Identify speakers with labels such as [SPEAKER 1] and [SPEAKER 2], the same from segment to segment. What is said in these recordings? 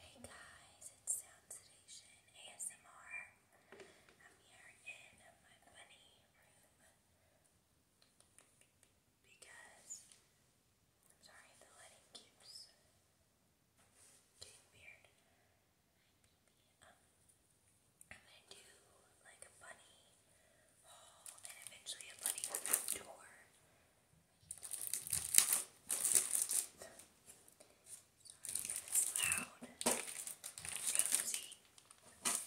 [SPEAKER 1] Hey guys, it's Sound Sedation ASMR. I'm here in my bunny room because I'm sorry the lighting keeps getting weird. I'm gonna do like a bunny haul and eventually a bunny tour if it's loud.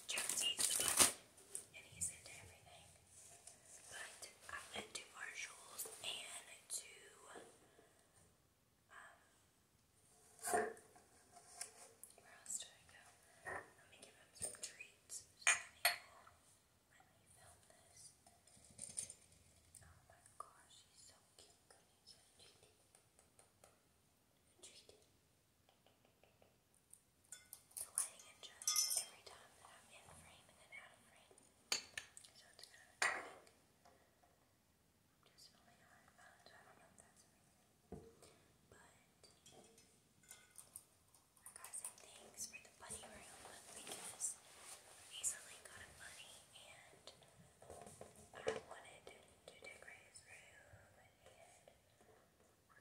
[SPEAKER 1] Jonesy. Jonesy's the button, and he's into everything. But I went to Marshalls and to um, where else did I go? Let me give him some treats. So when we filmed this. Oh my gosh, he's so cute. You're treated. You're treated. The lighting adjusts every time that I'm in frame and then out of frame. So it's kind of annoying. I'm just filming on my phone, so I don't know if that's amazing. But I got some things for like the bunny room because Lisa got a and I wanted to decorate his room and we're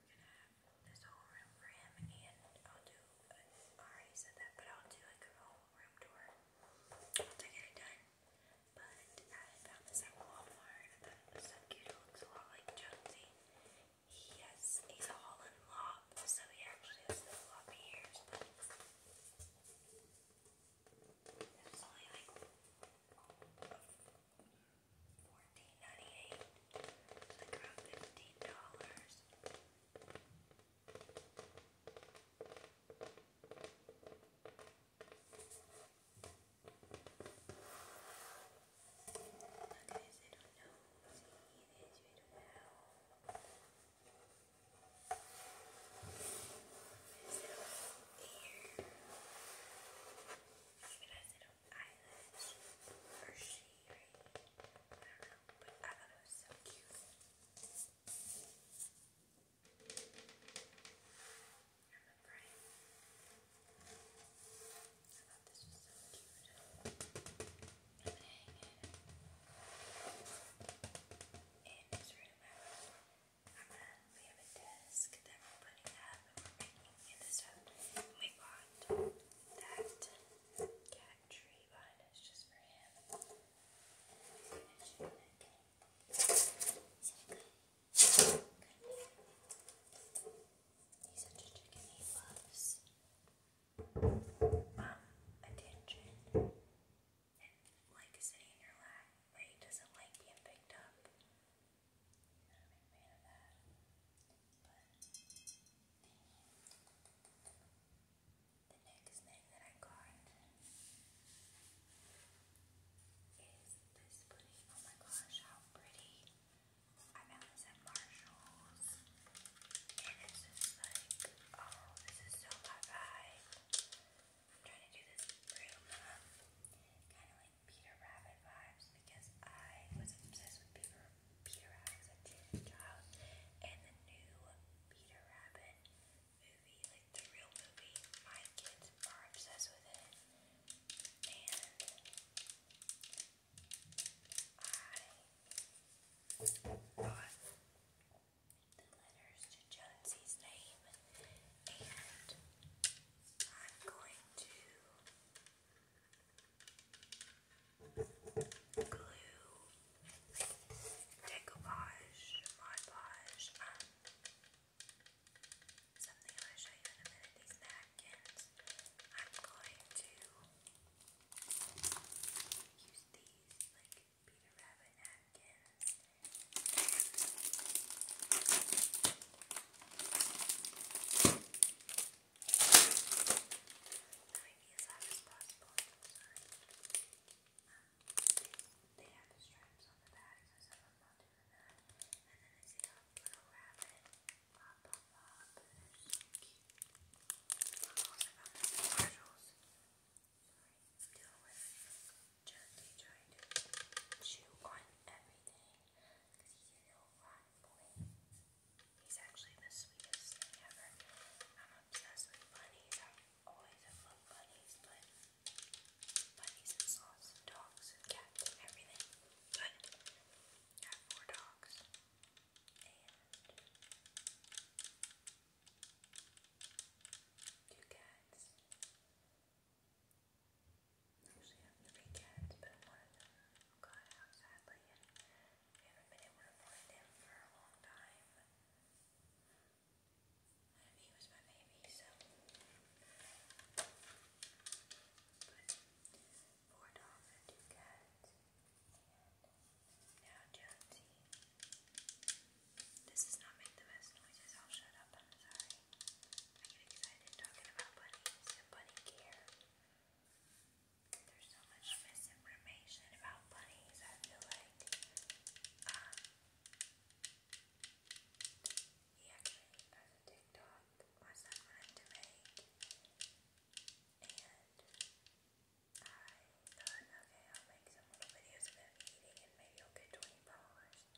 [SPEAKER 1] gonna have this whole room for him and I'll do a, I said that but I'll do like a whole room tour once I get it done. But I found this at Walmart. I thought it cute. It looks a lot like Jonesy. He he's a Holland lop, so he actually has the floppy ears, it's only like fourteen ninety eight. It's like around fifteen dollars. Guys, I don't know. See, you guys, you don't know. His little ear, even his little eyelash, or she, right? I don't know, but I thought it was so cute. I'm a Brian. I thought this was so cute playing in, in room. I'm gonna, we have a desk that we're putting up in this room. we bought that cat tree behind us just for him. He's such a chicken, he loves um, attention like sitting in your lap, but doesn't like being picked up. Not a big fan of that. But the next thing that I got is this pudding. Oh my gosh, how pretty! I found this at Marshall's. And it's like, oh, this is so my vibe. I'm trying to do this Peter Rabbit vibes because I was obsessed with Peter, Rabbit as a teen And the new Peter Rabbit movie, like the real movie, my kids are obsessed with it. And I bought the letters to Jonesy's name, and I'm going to glue decoupage, Mod Podge, something I'm show you in a minute, these napkins. I'm going to use these these like Peter Rabbit napkins. Trying to be as loud as the stripes on the back, so some of them not doing that. And then I see a rabbit pop, pop, deal with chew on everything He's actually the sweetest ever. I'm obsessed with bunnies. i always have loved bunnies, but bunnies and sloths dogs and cats everything. But I have four dogs Two cats. Actually, I have three cats, but one of them got out sadly, and we haven't been able to find him for a long time. And he was my baby, so. But four dogs and two cats. Now, Gen This does not make the best noises. I'll shut up. I'm sorry. I get excited talking about bunnies and bunny care. There's so much misinformation about bunnies, I feel like. Um, he actually has a TikTok my son wanted to make thought, okay, I'll make some little videos about eating and maybe I'll get 20 followers.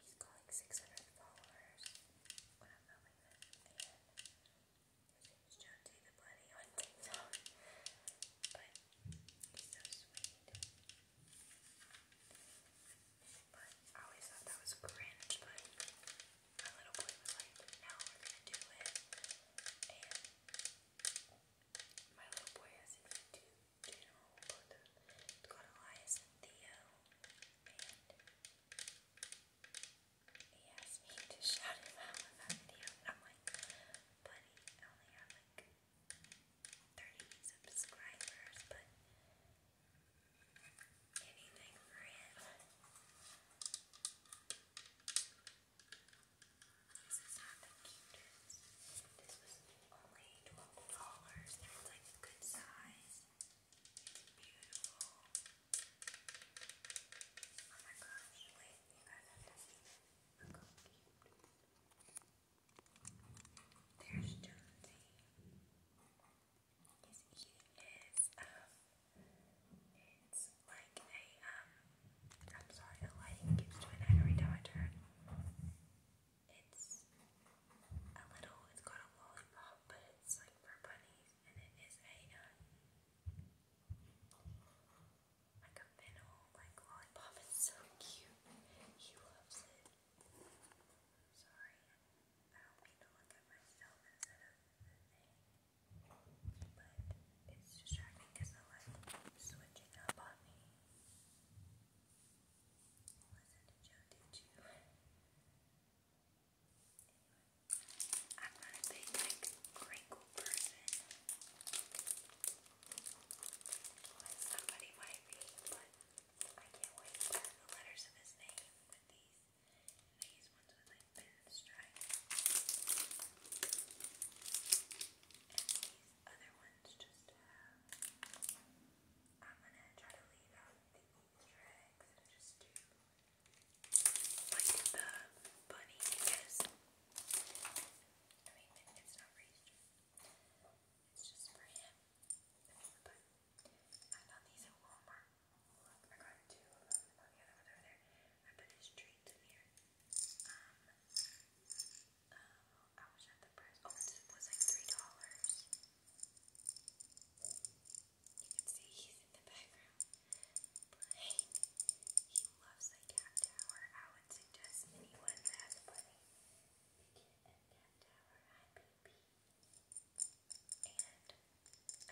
[SPEAKER 1] He's calling 600 followers But I always thought that was cringe, but my little boy was like, now we're gonna do it. And my little boy has his two channel Elias and Theo. he asked me to shout him out in that video. I'm like, buddy, I only have like 30 subscribers, but anything for him. This is not the This was only $12 it's like a good size. It's beautiful. Oh my gosh, wait, you guys have to see this. Look how cute. There's Jonesy. He's eating his, um, it's like a, um, I'm sorry, the lighting keeps doing every time I turn. It's a little, it's got a lollipop, but it's like for bunnies, and it is a, um, like a fennel, like lollipop. It's so cute. He loves it. Sorry, I don't mean to look at myself instead of the but it's distracting because the switching up on me. Listen did you? I'm not a big, like, crinkle person. somebody might be, but I can't wait to learn the letters of his name with these. These ones with like pinstripes. And these other ones just have. I'm gonna try to leave out the Easter eggs and just do like the bunny because I mean it's not Easter. It's just for him. But I found these at Walmart. Look, I put his treats in here. Um, oh, I was at the price. Oh, it was like three dollars. You can see he's in the background playing. He loves the cat tower. I would suggest anyone that has a cat tower. Hi, baby. And I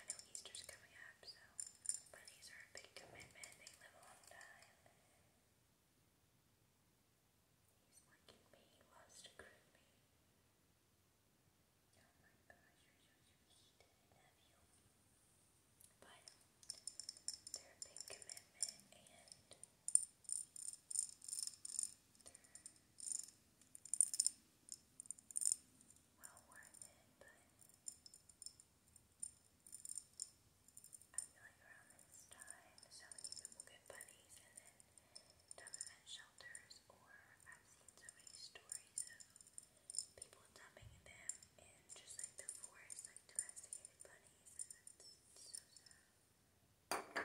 [SPEAKER 1] know Easter's coming up, so bunnies are a big commitment. They live a long time. He's liking me. He loves to groom me. Oh my gosh, you're so sweet. I love you. But they're a big commitment and well worth it, but I feel like around this time so many people get buddies and then dump them at shelters or I've seen so many stories of people dumping them in just like the forest, like domesticated bunnies and that's so sad.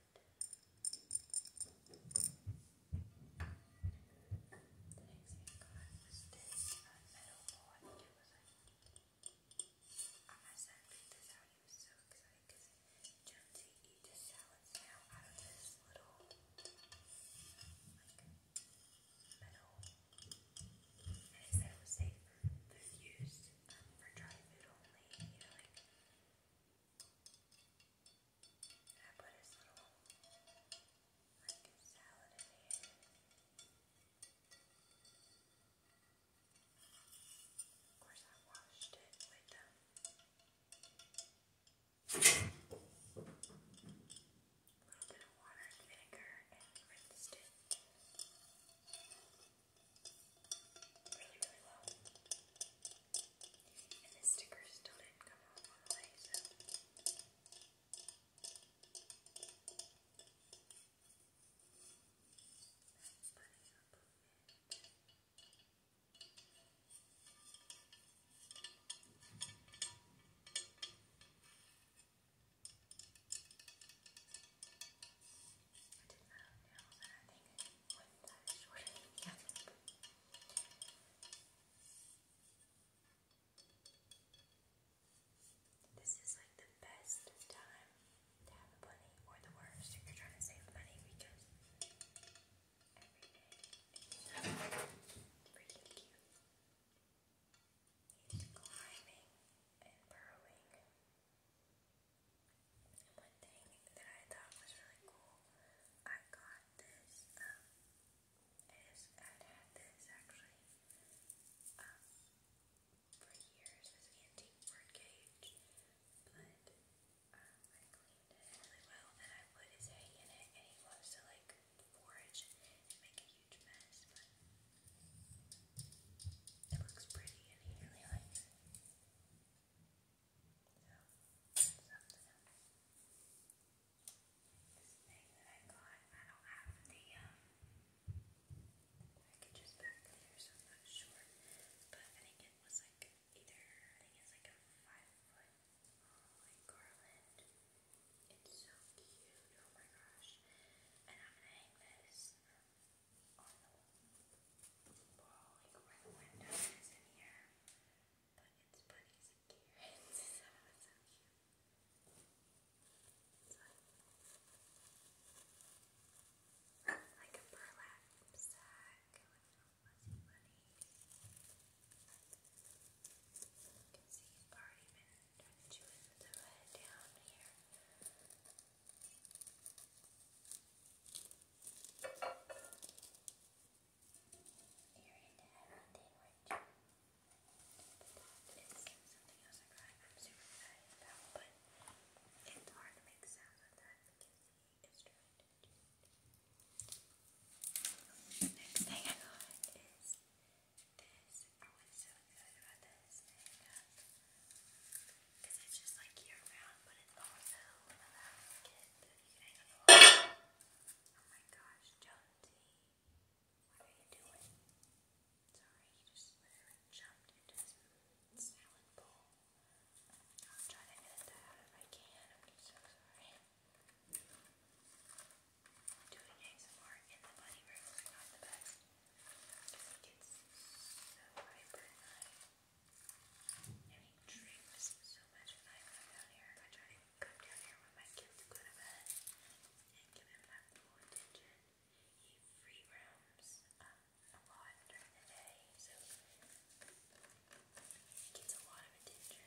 [SPEAKER 1] The next thing I got was this uh, metal ball. I think it was like. Uh, my son picked this out. He was so excited because Jonesy eats his salads now out of this little like metal. And he said it was safe for food use, um, for dry food only. You know, like. I put his little like his salad in here. Of course, I washed it with them. Um, a little bit of water and vinegar and rinsed it. Really, really well. And the sticker still didn't come out all way, so. That's putting up I did not know that with This is like the best time to have a bunny, or the worst if you're trying to save money because everything is pretty cute. He's climbing and burrowing. And one thing that I thought was really cool, I got had this, um, is, I've had this actually, for years, this antique bird cage, but, I cleaned it really well, and I put his hay in it, and he loves to, like, forage and make a huge mess, but it looks pretty, and he really likes it. So, something This thing that I got, I don't have the, um, packages back there, so I'm not sure. But I think it was like either, I think it's like a five foot like garland. It's so cute. Oh my gosh. And I'm gonna hang this on the wall, like where the window is in here. But like, a burlap sack with fuzzy bunnies. You can see it's already been done chewing the down here earring to the orange. But something else I am super excited about, but it's hard to make sound with that because the instrument. The next thing I got is this. Oh, I was so excited about this because it's just like year round, but it's also allows you Oh my gosh, Jonesy. What are you doing? Sorry, he just literally jumped into his salad bowl. I'll try to edit that out if I can. I'm just so sorry. Doing ASMR in the bunny room is not the best. Because it gets so hyper and I Getting dreams so much when I come down here. I try to come down here when my kids go to bed and give him my full attention. He free roams a lot during the day, so he gets a lot of attention. But I keep him here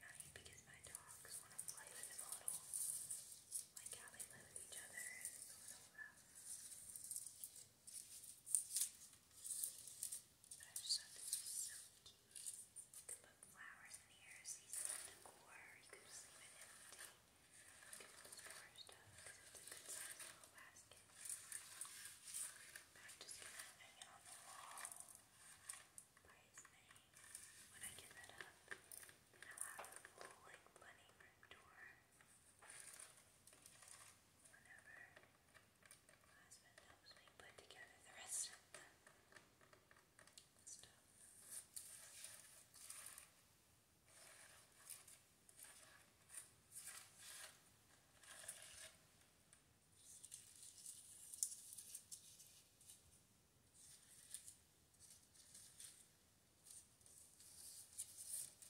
[SPEAKER 1] at night because my dogs want to play with him a little. Like how they play with each other, but I just thought this was so cute. You could put flowers in here, seasonal decor. You could just leave it empty. You could put more stuff because it's a good size little basket. But I'm just gonna hang it on the wall by his name. When I get that up, then I'll have the full like bunny room door. Whenever my husband helps me put together the rest of the stuff. All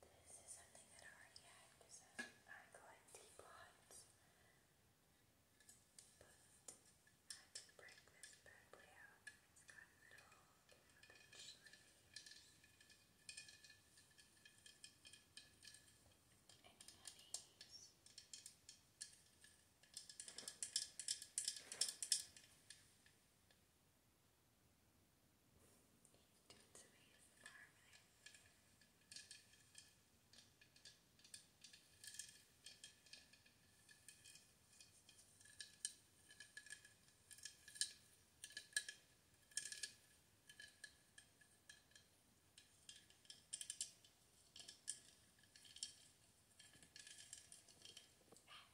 [SPEAKER 1] This is something that I already had because I, collect teapots. But I did break this bad boy out. It's got little pinch leaves. And yummies doing some ASMR really. Ah,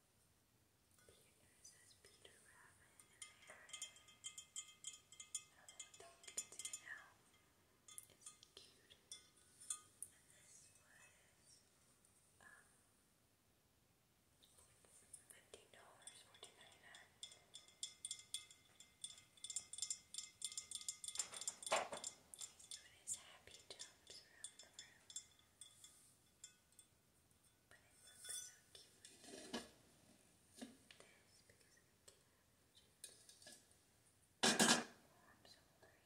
[SPEAKER 1] Peter says Peter Rabbit in there. I don't know if you can see it now. It's cute. And this was um fifteen dollars, fourteen ninety nine. He's doing his happy jumps around the room. But it looks so cute. This, because I can't oh, I'm so blurry. Oh my god, I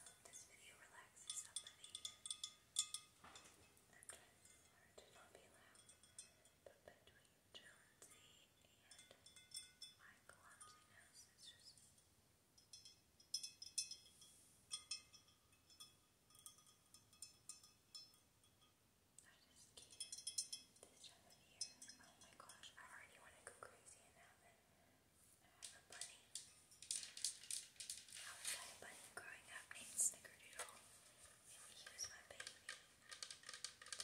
[SPEAKER 1] hope this video relaxes somebody. I'm trying to learn to not be loud. But between Jonesy and my clumsiness, it's just... I that is cute. This time of year. Oh my gosh, I already want to go crazy and have it. I have a bunny. I was had a bunny growing up named Snickerdoodle. And he was my baby. And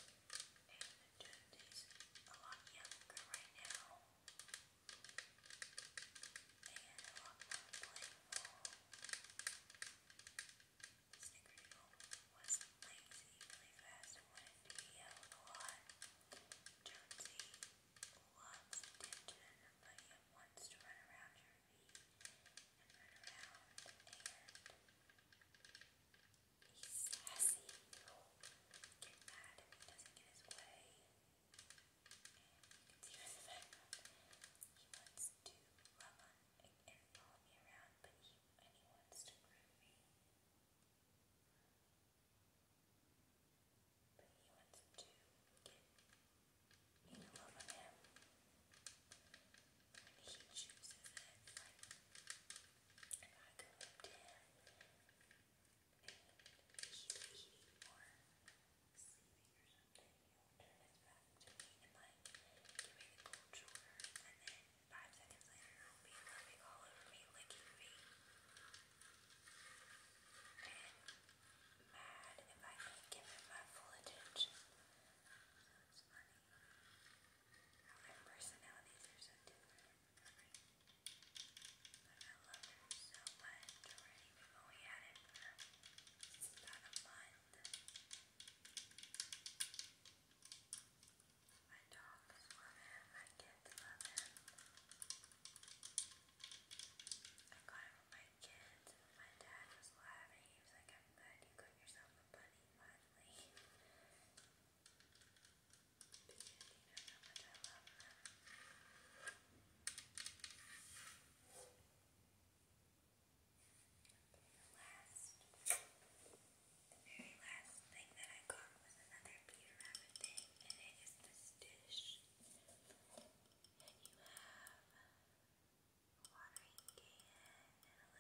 [SPEAKER 1] Joe is a lot younger right now and a lot more playful. Snickerdoodle was lazy, really fast, and wanted to be out a lot. Jonesy loves attention, but he wants to run around your feet and run around, and he's sassy. He'll get mad if he doesn't get his way. He can see He wants to run on and follow me around, but he and to groom me. But he wants to get me love on him. When he chooses it, if I go up him, should, we should eat more sleeping or something. He'll turn his back to me and like give me the cold shoulder, and then five seconds later he'll be loving all over me, licking me, and mad if I don't give him my full attention. So it's funny how their personalities are so different. But I love him so much already. We've only had it for about a month. My dogs love him. My kids love him. I got him for my kids. My dad was laughing. He was like, I'm glad you got yourself a bunny finally the very last thing that I got was another Peter Rabbit thing, and it is this dish. And you have a watering can and a little, like a sparrow maybe, Peter,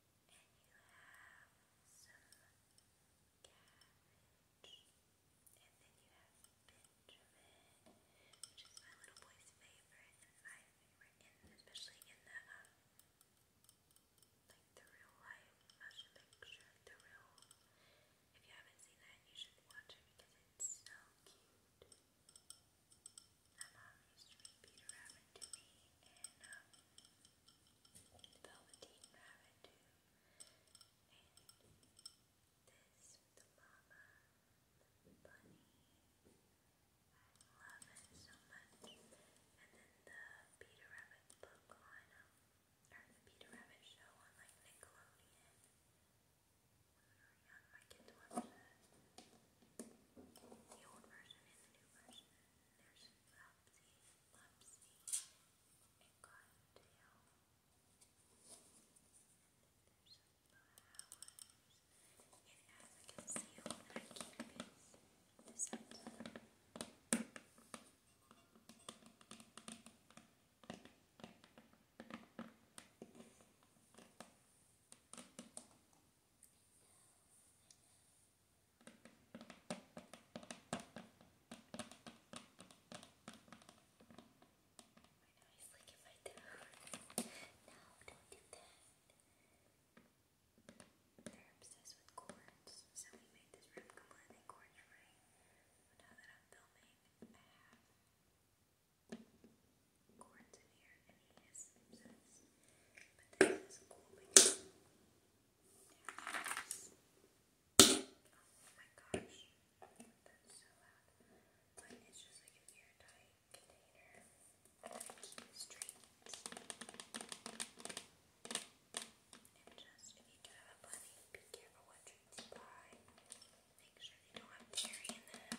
[SPEAKER 1] Benjamin, which is my little boy's favorite and my favorite in especially in the like the real life motion picture, the real if you haven't seen that you should watch it because it's so cute. My mom used to be Peter Rabbit to me and um, Velveteen Rabbit too. And this, the mama, bunny. I love it so much. And then the Peter Rabbit book on, or the Peter Rabbit show on like Nickelodeon. When we were young, my kids watched that the old version and the new version. There's Lopsy, Lopsy, and Cottontail. There's flowers. And as I can see, when I keep this, eyes look at my toes. No, don't do that. They're obsessed with cords, so we made this room completely cord-free. Now that I'm filming, I have cords here and he is But this cool Oh my gosh, that's so loud. But it's just like an airtight container I keep his treats. And just if you have a bunny, be careful what treats you buy. Make sure they don't have dairy in them.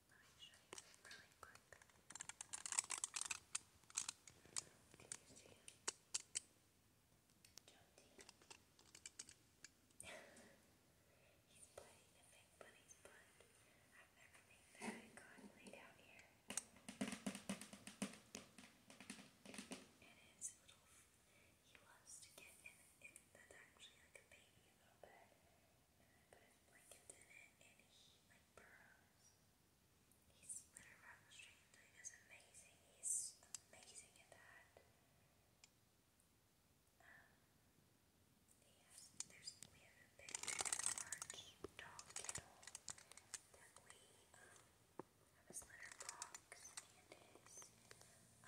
[SPEAKER 1] Let me show you really quick. Can you see him? John D. he's playing the fake bunny's butt. I've never made that icon laid out here. And his little, he loves to get in, in that's actually like a baby a little bit. But Lincoln did it, he, like amazing. He's amazing at that. Um, yes, there's, we have a picture dog kennel that we, um, have his litter box and his, um,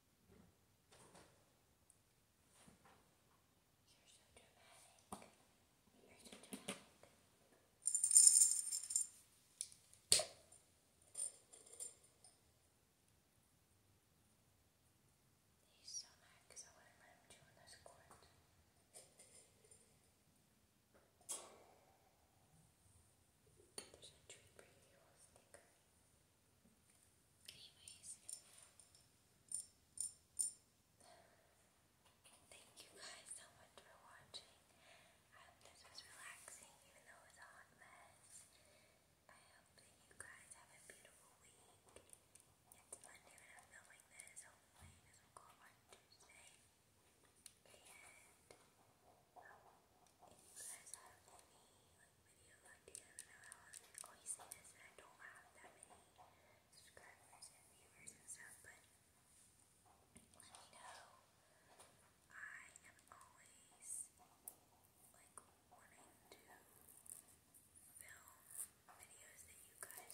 [SPEAKER 1] You're so dramatic. You're so dramatic. He's so mad I wouldn't let him chew on this cord. There's a treat for you, a sticker. Anyways, thank you guys so much for watching. I hope this was relaxing, even though it's a hot mess. I hope that you guys have a beautiful week. It's Monday when i filming this. Hopefully, this will go on Tuesday. And if you guys have any video idea this and I don't have that many subscribers and viewers and stuff, but let me know. I am always like wanting to film videos that you guys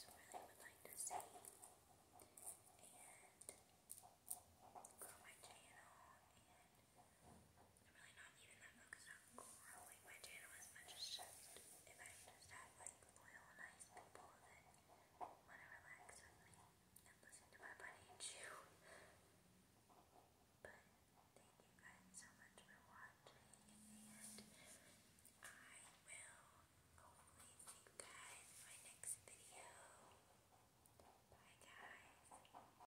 [SPEAKER 1] really would like to see and grow my channel and I'm really not even that focused on growing my channel as much as just if I just had like loyal, nice people that want to relax with me and listen to my buddy chew. But thank you guys so much for watching, and I will hopefully see you guys in my next video. Bye, guys.